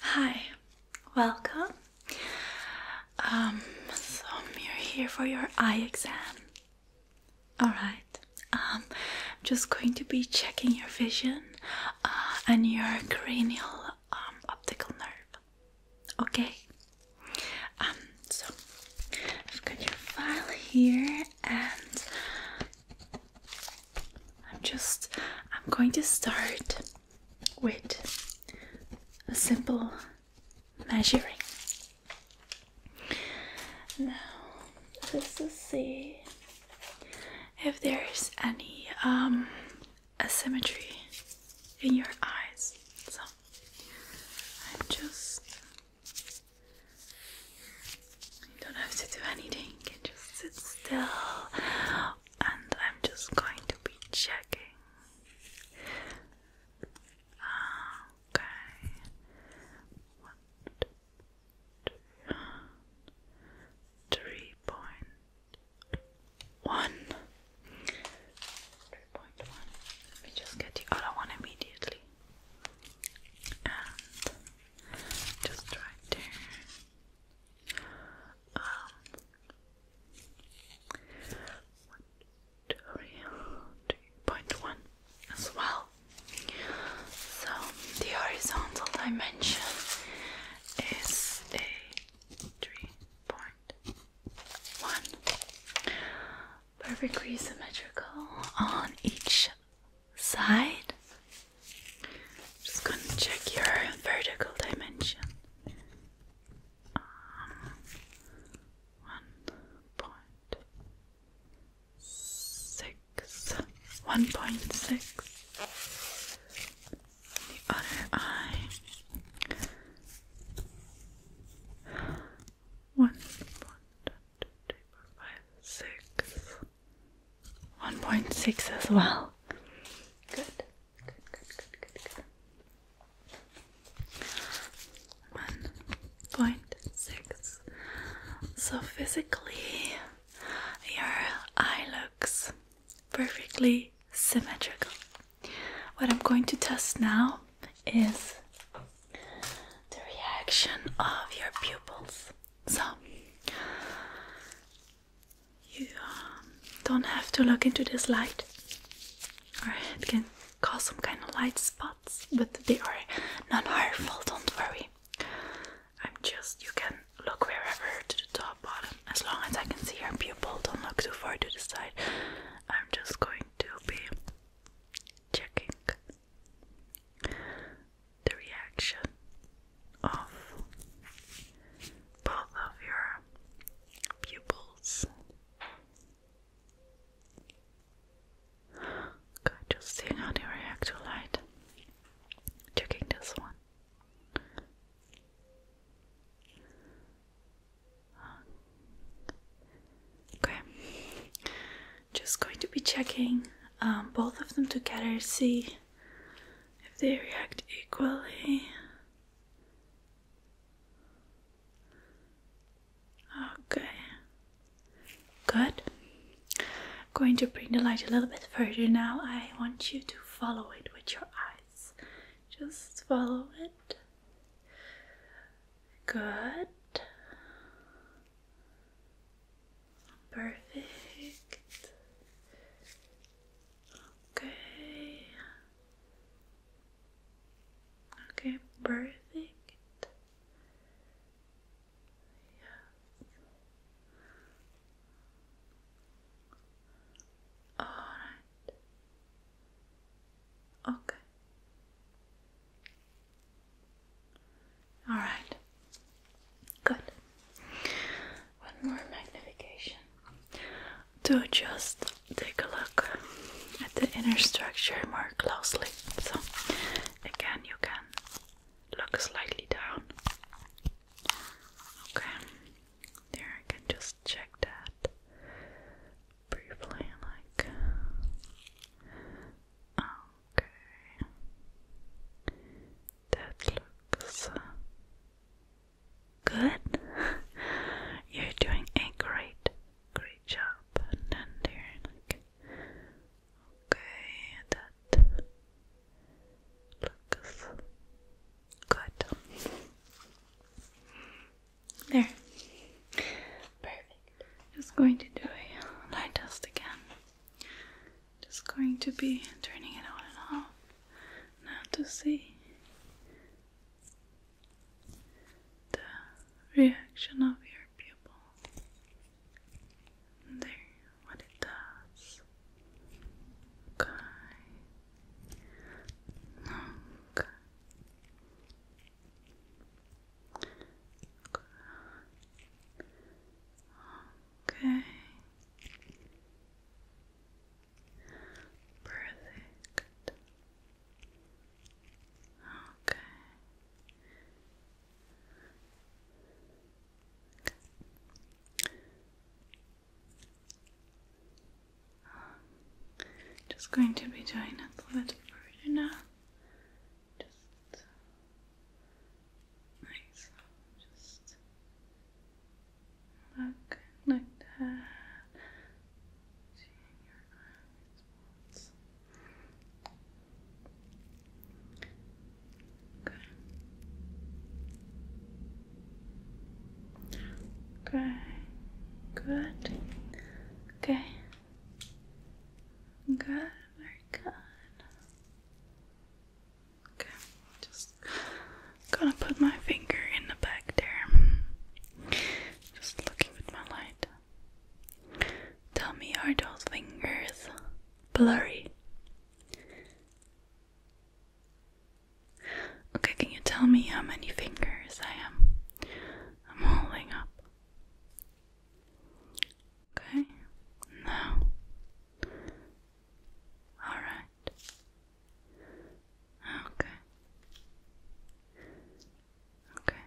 Hi, welcome. Um, so you're here for your eye exam. Alright, um, I'm just going to be checking your vision uh, and your cranial um, optical nerve. Okay? Um, so I've got your file here and I'm just I'm going to start with a simple measuring. Now just to see if there's any um asymmetry in your eyes. So I'm just you don't have to do anything, you can just sit still and I'm just going to be checking. Okay. One, two, three point Let me just get the other one immediately. And just right there um, one, two, three, point one as well. So the horizontal dimension is a three point one, perfectly symmetrical on each side just gonna check your vertical dimension. Um, one point six. One point six. The other eye. One, one, two, three, four, five, six. 1.6 as well. Good. Good, good, good, good, good. 1.6. So physically, your eye looks perfectly symmetrical. What I'm going to test now is the reaction of your pupils. So, you um, don't have to look into this light, or it can cause some kind of light spots, but they are non harmful, don't worry. I'm just, you can look wherever to the top, bottom, as long as I can see your pupil, don't look too far to the side. I'm just going to be checking the reaction of both of your pupils. Good, just seeing how they react to light. Checking this one. Okay, just going to be checking um, both of them together. See if they react equally. Okay, good. I'm going to bring the light a little bit further now. I want you to follow it with your eyes. Just follow it. Good. Perfect. Okay. Okay, perfect. Yes. All right. Okay. All right. Good. One more magnification to just take a look at the inner structure more closely. So, again, you can look slightly down. Okay, there I can just check that briefly, like. Okay, that looks Good. You're doing a great, great job. And there, okay, that looks good. There. Perfect. Just going to do a light test again. Just going to be turning it on and off now to see the reaction of your pupil there what it does okay okay Okay. Perfect. Okay. just going to be doing a little bit further now. Just like Just Look like that. Good. Okay. Good. Okay. Good. Very good. Okay, just gonna put my finger in the back there. Just looking with my light. Tell me, are those fingers blurry? Okay, can you tell me how many fingers I am? I'm holding up. Okay, now all right. Okay. Okay. Okay.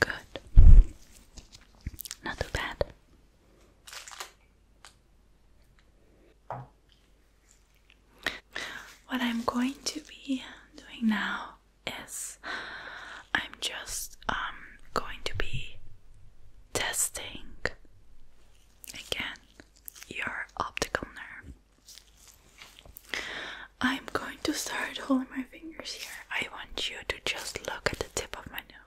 Good. Not too bad. What I'm going to be doing now is I'm just um, going to be testing again your optical nerve. I'm going to start holding my fingers here. I want you to just look at the tip of my nose.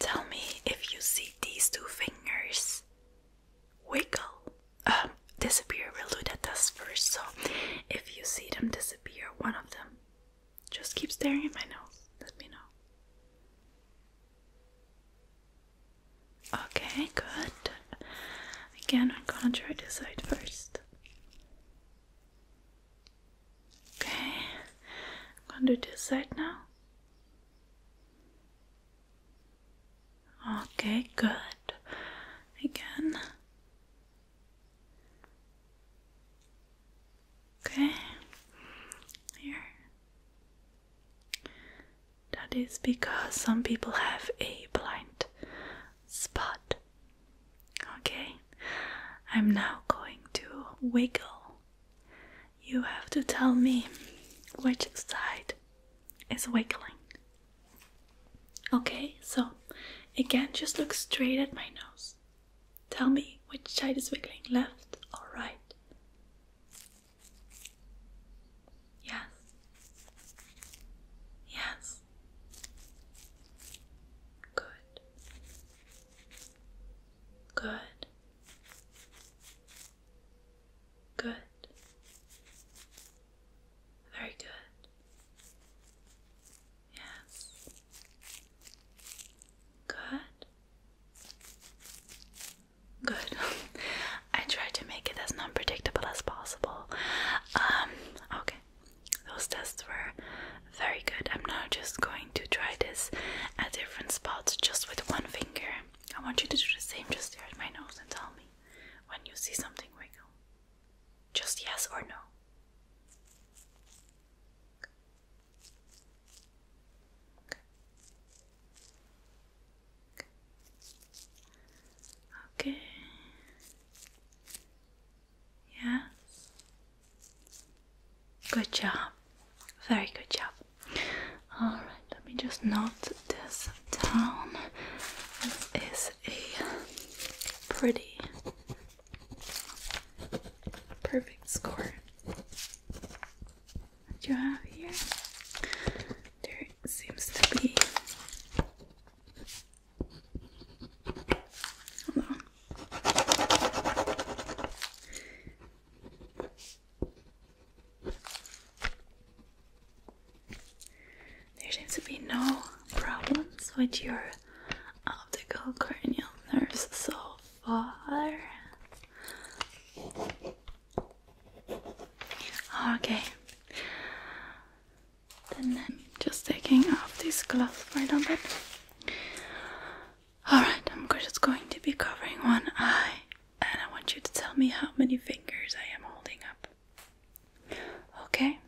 Tell me if you see these two fingers wiggle. Um, disappear. We'll do that test first. So, if you see them disappear, one of them just keep staring at my nose. Let me know. Okay, good. Again, I'm gonna try this side first. Okay, I'm gonna do this side now. Okay, good. Again. Okay, here. That is because some people have a blind spot. Okay, I'm now going to wiggle you have to tell me which side is wiggling. Okay, so again, just look straight at my nose. Tell me which side is wiggling, left or right? Yes. Yes. Good. Good. Good. Very good. Yes. Good. Good. I tried to make it as unpredictable as possible. Um, okay. Those tests were very good. I'm now just going to try this at different spots just with one finger. I want you to do the same, just stare at my nose and tell me when you see something wiggle. Just yes or no. okay. Yes. Good job. Very good job. Alright, let me just note this down. This is a pretty perfect score that you have here. There seems to be there seems to be no problems with your optical cranial nerves so far. Okay. Then I'm just taking off these gloves for a little bit. Alright, I'm just going to be covering one eye, and I want you to tell me how many fingers I am holding up. Okay?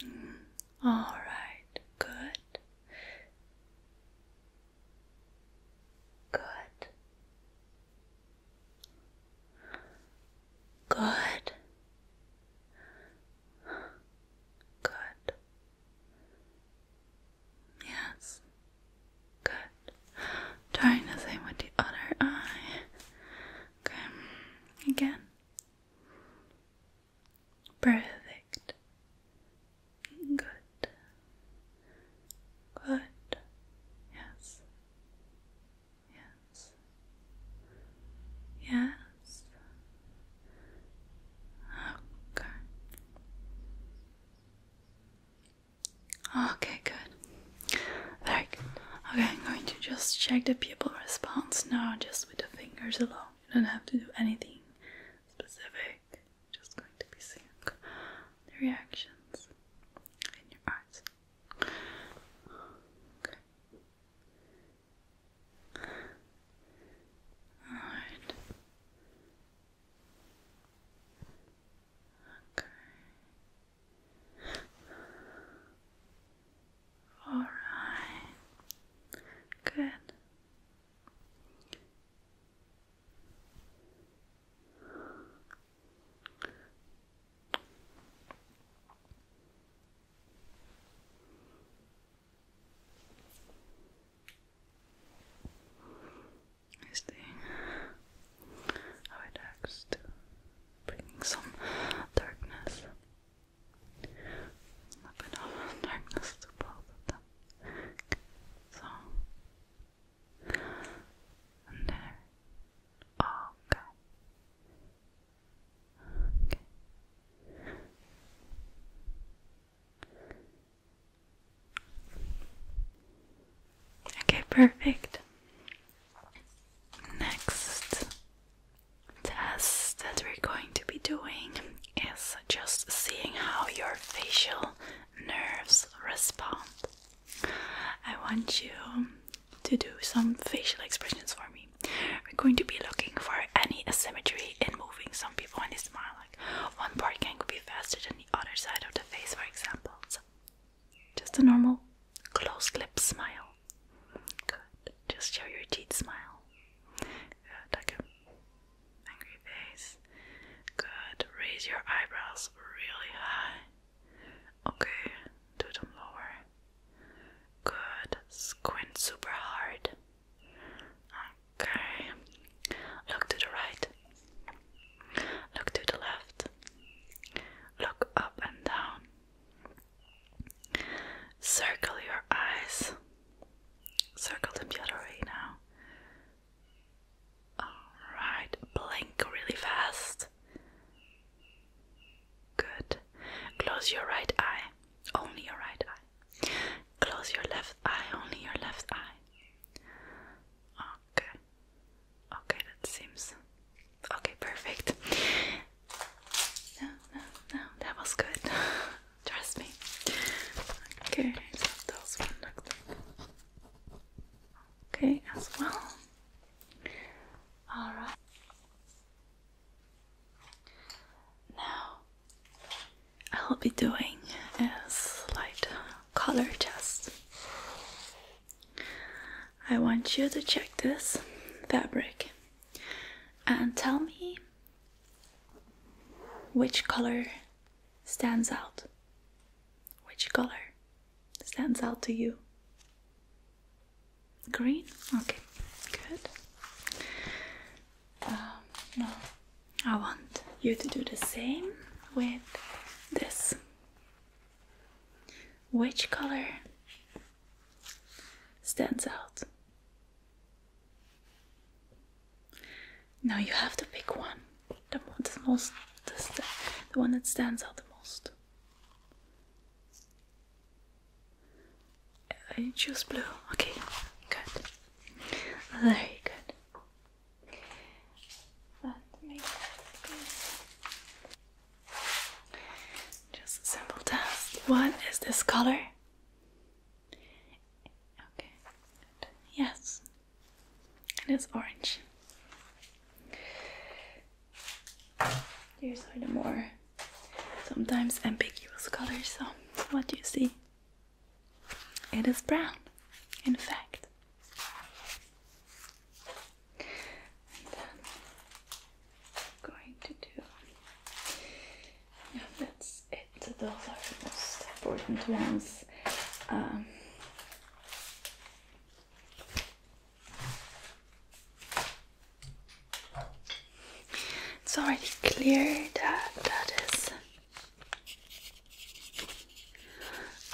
Hmm, Alright, good. Good. Good. Good. Yes. Good. Trying the same with the other eye. Okay. Again. Perfect. Good. Good. Yes. Yes. Yes. Okay. Okay, good. Very good. Okay, I'm going to just check the pupil response now, just with the fingers alone. You don't have to do anything specific. Just going to be seeing the reactions in your eyes. Okay. Alright. Okay. All right. Good is the how it acts to bringing some darkness a bit darkness to both them so and okay oh, Okay. Okay, perfect. Next test that we're going to be doing is just seeing how your facial nerves respond. I want you to do some facial expressions for me. We're going to be looking for any asymmetry in moving some people when they smile. Like one part can be faster than the other side of the face, for example. just a normal closed lip smile. Good. Just show your teeth smile. Good. Like an angry face. Good. Raise your eyebrows really high. Okay. Do them lower. Good. Squint super hard. Okay. Look to the right. Look to the left. Look up and down. Circle your eyes. Circle them the other way now. Alright, blink really fast. Good. Close your right eye. Only your right eye. Close your left eye, only your left eye. Okay. Okay, that seems okay, perfect. No, no, no, that was good. Trust me. Okay, okay as well. Alright. Now I'll be doing a slight color test. I want you to check this fabric and tell me which color stands out. Which color stands out to you? Green? Okay, good. Um, no, I want you to do the same with this. Which color stands out? Now you have to pick one. the one that stands out the most. Uh, I choose blue. Okay, good. Very good. just a simple test. What is this color? Okay. Yes. It is orange. There are the more sometimes ambiguous colors. So, what do you see? It is brown, in fact. going to do. Yeah, that's it. Those are the most important ones. Um, it's already clear that that is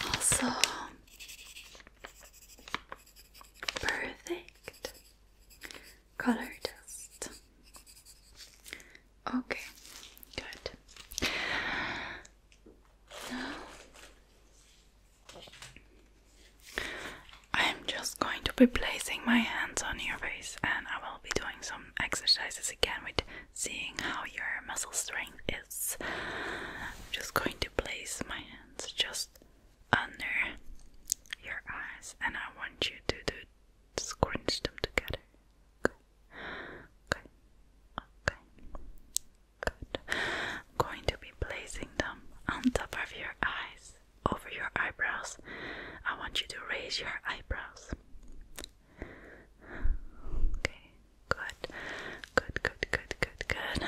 also perfect color test. Okay, good. Now I'm just going to be placing my hands on your face and I will be doing some exercises again with seeing how your muscle strength is. just going to place my hands just under your eyes, and I want you to do scrunch them together. Okay. Okay. Okay. Good. I'm going to be placing them on top of your eyes, over your eyebrows. I want you to raise your eyebrows. Okay, good, good, good, good, good, good.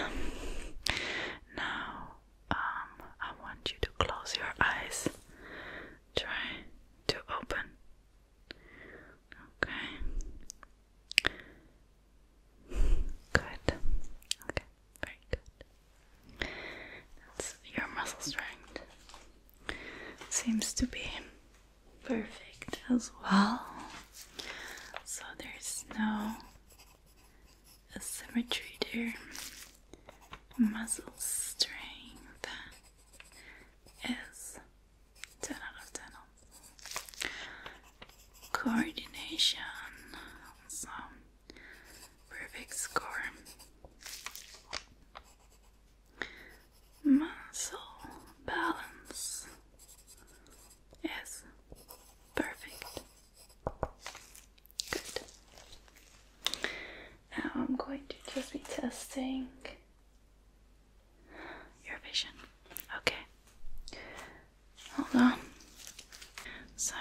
Now, um, I want you to close your eyes. Try to open. Okay. Good. Okay, very good. That's your muscle strength seems to be perfect as well. So there's no asymmetry there. Muscle strength is 10 out of 10. Coordination, so perfect score muscle balance is perfect. Good. Now I'm going to just be testing your vision. Okay. Hold on. So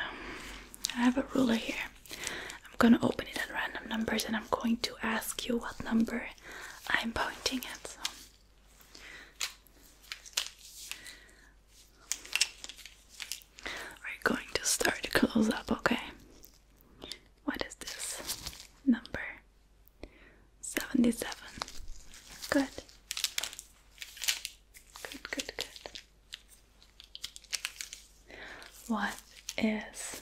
I have a ruler here. I'm gonna open it at random numbers and I'm going to ask you what number I'm pointing at. So. We're going to start to close up, okay? What is this number? 77. Good. Good, good, good. What is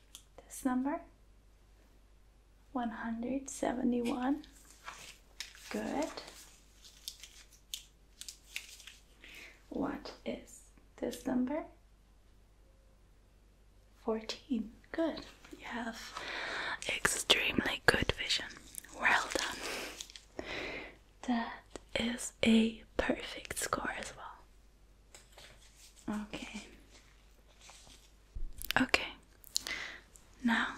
this number 171 good what is this number 14 good you have extremely good vision well done that is a perfect score as well okay Okay, now I'm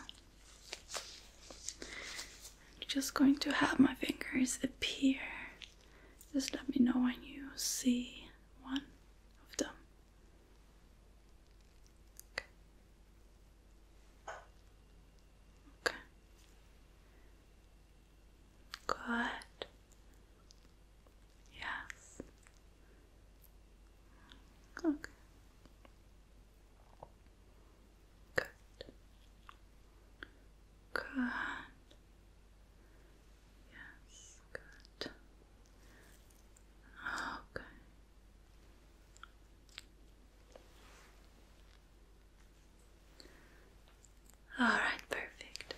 just going to have my fingers appear. Just let me know when you see one of them. Okay. Good. Yes. Okay. Good. Good. Yes, good. Okay. All right, perfect.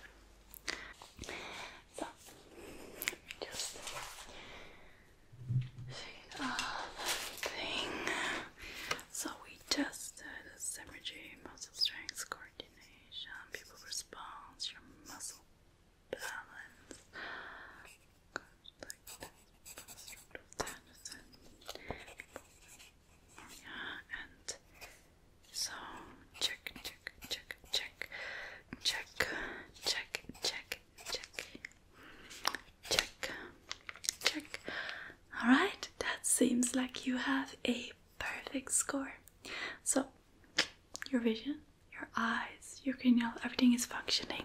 So, just shake uh, off everything. So, we tested the symmetry, muscle strength, coordination, people response, your muscle balance. like this, and yeah, and so check, check, check, check, check, check, check, check, check, check. All right, that seems like you have a perfect score. So your vision, your eyes, your cranial, everything is functioning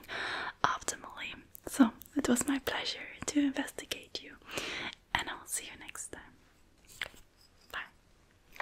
optimally. So it was my pleasure to investigate you, and I'll see you next time. Bye.